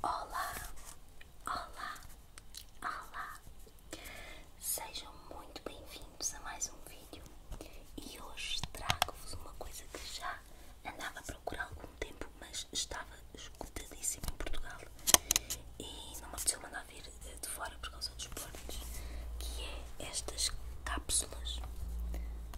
Olá, olá, olá. Sejam muito bem-vindos a mais um vídeo e hoje trago-vos uma coisa que já andava procurando algum tempo, mas estava esgotadíssimo em Portugal e não me apeteceu mandar ver eh, de fora por causa dos portos, que é estas cápsulas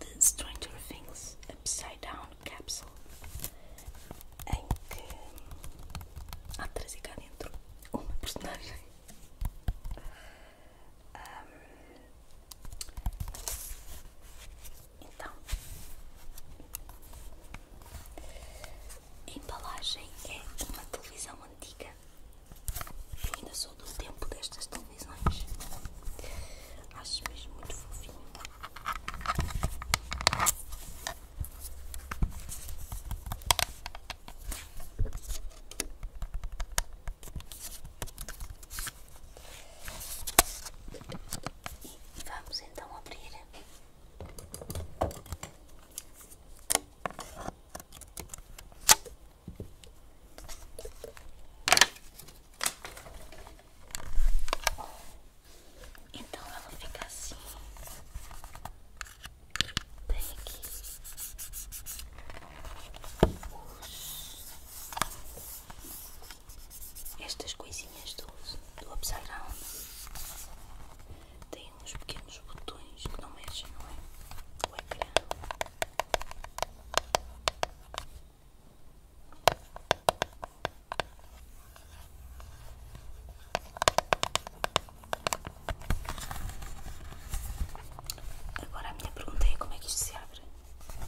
de Stranger Things Upside Down Capsule, em que há três e cá dentro uma personagem. Então, a embalagem é uma televisão antiga. ainda sou do tempo destas televisões. Acho mesmo muito fofinho. E vamos então abrir. Então ela fica assim. Tem aqui estas coisinhas do, do Upside Down têm uns pequenos botões que não mexem, não é? O ecrã. Agora a minha pergunta é como é que isto se abre?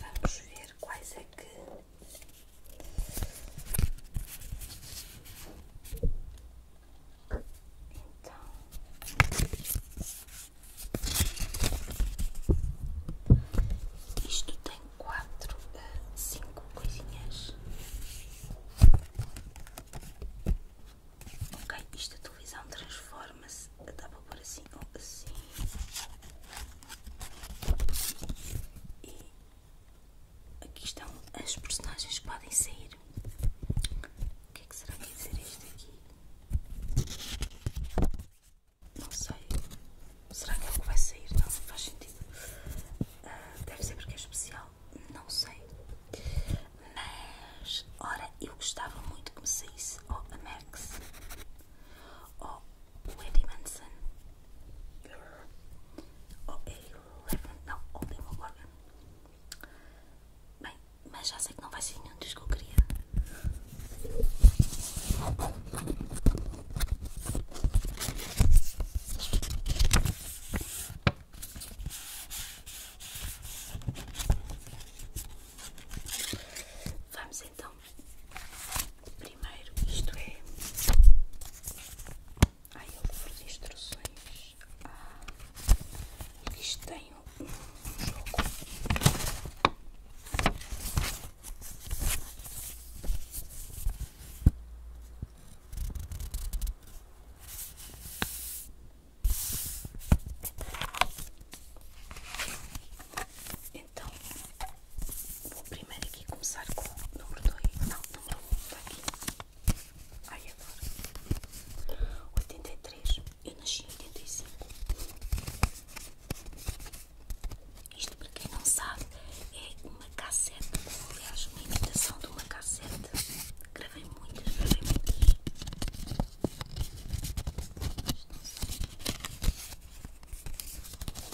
Vamos ver quais é que então, isto tem quatro a eh, cinco coisinhas. Ok, isto a televisão transforma-se, dá para pôr assim ou assim. Aqui estão as personagens que podem sair. O que é que será que ia é dizer este aqui? Não sei. Será que é o que vai sair? Não, não faz sentido. Ah, deve ser porque é especial. Não sei. Mas, ora, eu gostava muito que me saísse ou a Max ou Wendy Manson ou é Eleven, não, ou Demon Bem, mas já sei que não vai ser nenhum dos que eu queria. Vamos então Primeiro, isto é. Ai, eu livro instruções. Ah, isto tem um jogo. Então, vou primeiro aqui começar com o número 2. Não, número 1 um está aqui. Ai, adoro. 83. Eu nasci em 85. Isto, para quem não sabe, é uma cassete. Aliás, uma imitação de uma cassete. Gravei muitas, gravei muitas.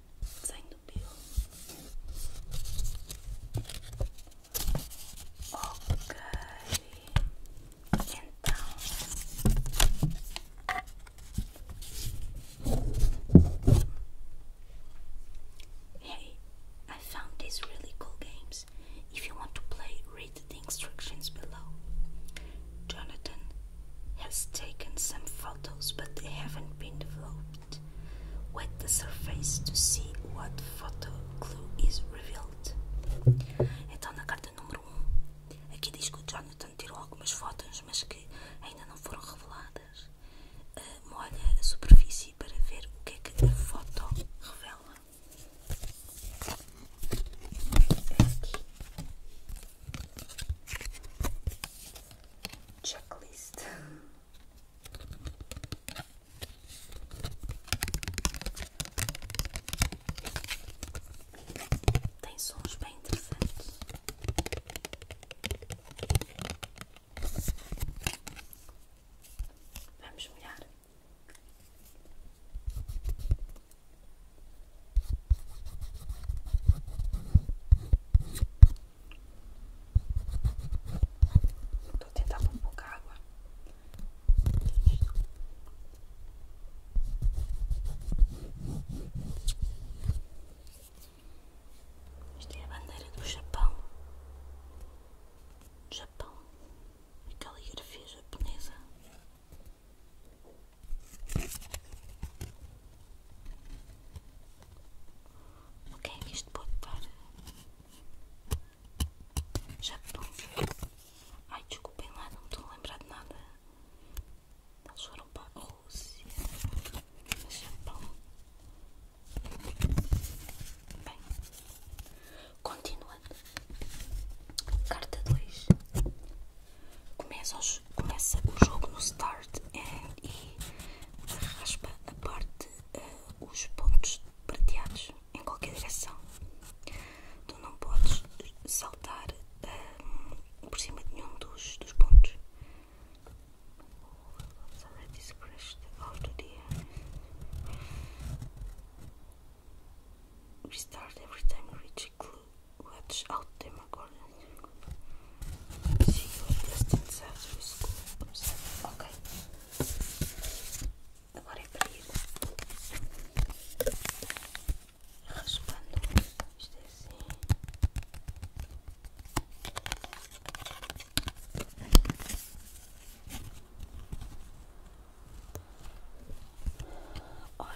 ok hey I found these really cool games if you want to play read the instructions below Jonathan has taken some photos but they haven't been developed Então, na carta número 1, aqui diz que o Jonathan tirou algumas fotos, mas que ainda não foram reveladas. Ah, molha a superfície para ver o que é que a foto revela checklist. Tem sons bem interessantes. Vamos molhar. Estou a tentar pôr um pouco água. Isto é a bandeira do Japão. Japão. Aquela caligrafia japonesa. O que é que isto pode dar? Japão. Ai, desculpem lá, não me estou a lembrar de nada. Eles foram para a Rússia. Japão. Bem. Continuando. Carta 2 começa, o jogo no start e raspa a parte, eh, os pontos prateados em qualquer direção. Tu não podes saltar eh, por cima de nenhum dos, dos pontos. Restart every time you reach a clue let's out them accordingly. See you at distance after school. Ok. Agora é para ir raspando isto é assim. Ora,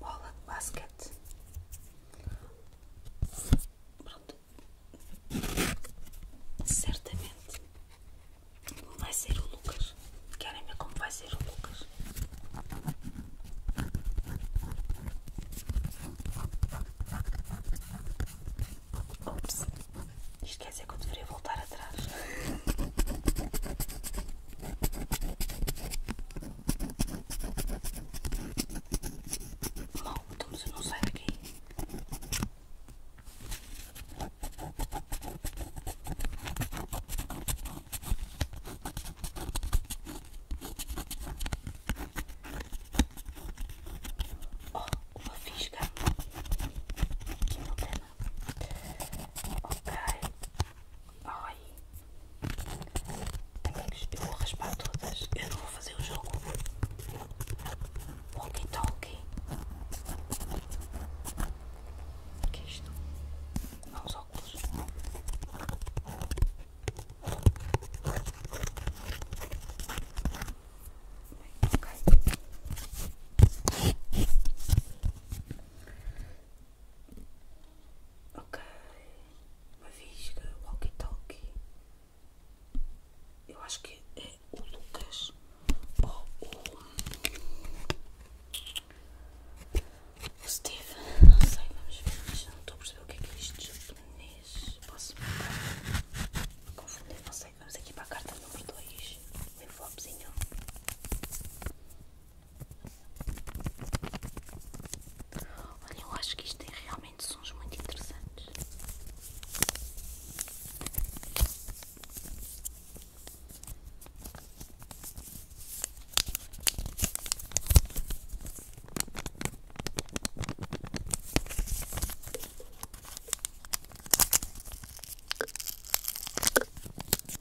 bola de basquete. Pronto. Certamente vai ser o Lucas. Querem ver como vai ser o Lucas? Ops. Isto quer dizer que eu deveria voltar atrás. Bom, então você não sai daqui. Ó, oh, uma fisca. Que problema. Ok. Ai. Amigos, eu vou raspar todas. Eu não vou fazer o jogo. Walkie talkie. O que é isto? Não, os óculos. Bem, ok. Ok, uma visga, walkie-talkie. Eu acho que é o Lucas ou o Steve. Não sei, vamos ver, mas não estou a perceber o que é que é isto japonês. Posso confundir? Não sei. Vamos aqui para a carta número 2, o envelopezinho. Olhem, eu acho que isto tem realmente sons muito interessantes.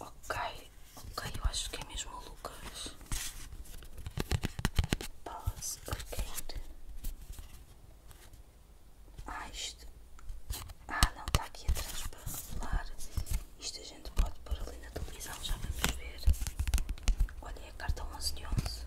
Ok, ok, eu acho que é mesmo o Lucas. Pause Arcade. Ah, isto. Ah, não, está aqui atrás para revelar. Isto a gente pode pôr ali na televisão, já vamos ver. Olha, é a carta 11 de 11.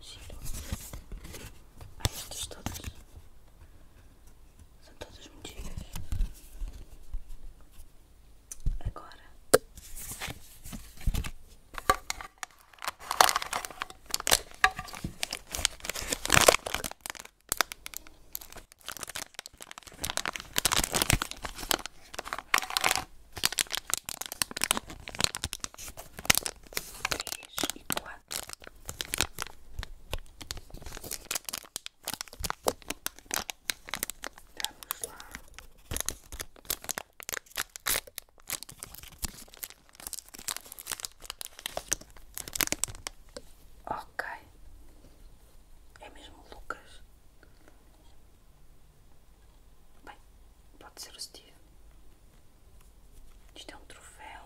giro estas todas são todas medidas agora três e quatro. Vamos lá. Ok, é mesmo Lucas. Bem, pode ser o Steve. Isto é um troféu.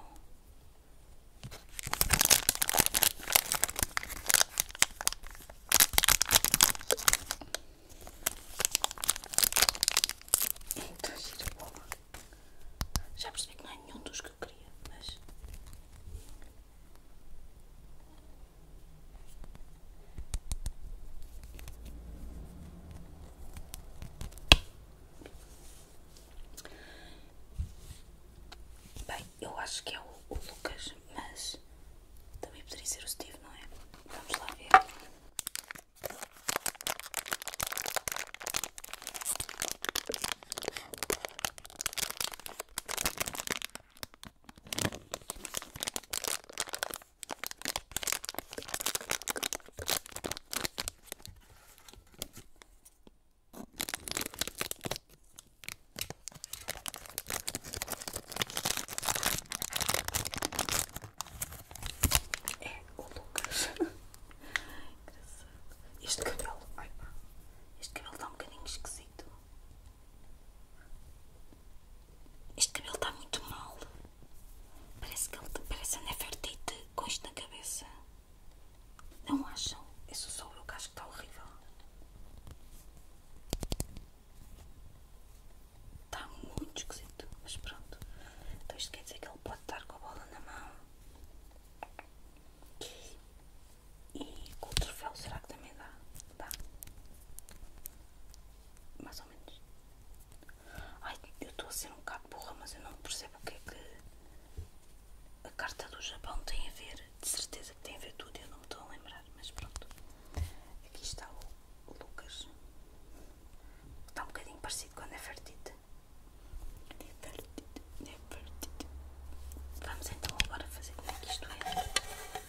Então gira a Já percebi que não é nenhum dos que eu queria, mas Bem, eu acho que é o, Lucas, mas também poderia ser o Steve, não é? Vamos lá ver. É o Lucas. este cabelo. Este cabelo está um bocadinho esquisito. Este cabelo está muito mal. Parece que ele parece a Nefertiti com isto na cabeça. Não acham? Isso sobre eu que acho que está horrível. Está muito esquisito, mas pronto. Então isto quer dizer que ele pode estar com a bola na mão. E com o troféu será que também dá? Dá. Mais ou menos. Ai, eu estou a ser um bocado burra, mas eu não percebo o que é que a carta do Japão tem a ver. De certeza que tem a ver tudo, eu não me estou a lembrar, mas pronto. Aqui está o Lucas. Está um bocadinho parecido com a Nefertiti. Nefertiti, Vamos então agora fazer como é que isto é.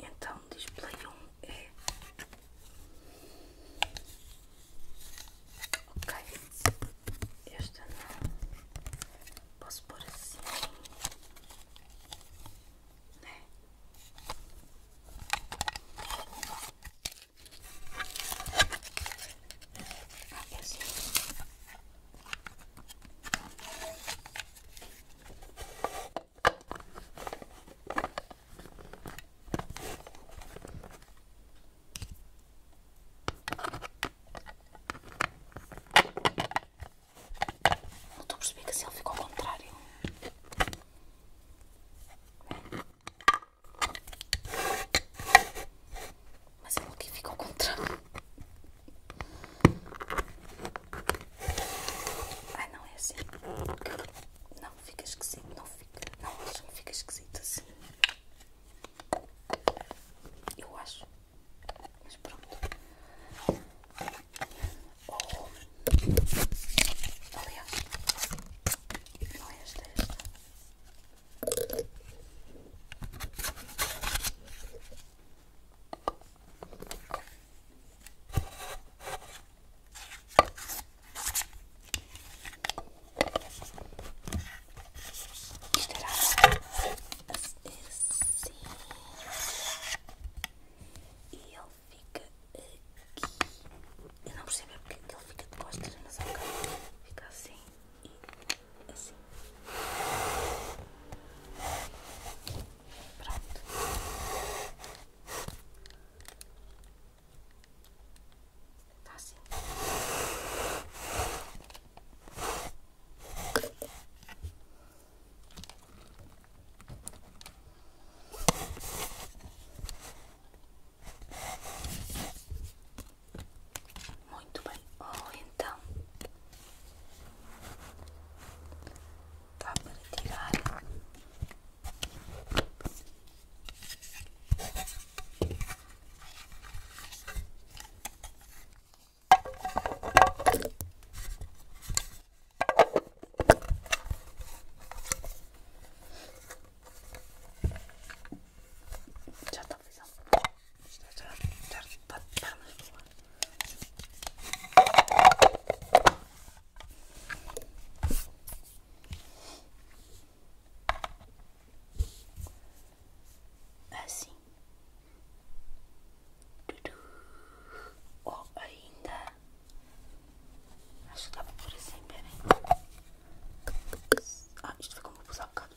Então, display um é. Ok, esta não. Posso pôr assim, né? Ah, é assim. Não estou a que se ele ficou ao contrário. Mas ele é aqui fica ao contrário. Ah, não é assim. Não, fica esquisito. Não fica. Não, acho que fica esquisito assim. Eu acho. Mas pronto. Oh. Aliás. Não é esta, é esta. Estourar assim. E ele fica aqui. Eu não percebi porque ele fica de costas, mas é ok. Fica assim e assim. Pronto. Tá assim. Muito bem. Ou então dá para tirar já televisão. Estou a ainda acho que dá para pôr assim. Bem, ah, isto foi como eu bocado.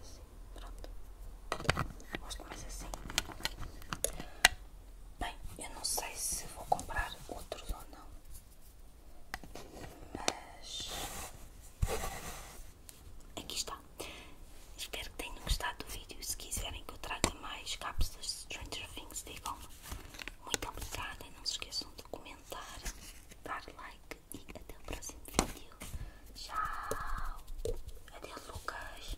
Assim, pronto. Gosto mais assim. Bem, eu não sei se vou comprar outros ou não. Mas aqui está. Espero que tenham gostado do vídeo. Se quiserem que eu traga mais cápsulas de Stranger Things, digam-me. Muito obrigada e não se esqueçam de comentar, dar like e até o próximo vídeo. Tchau! Adeus, Lucas!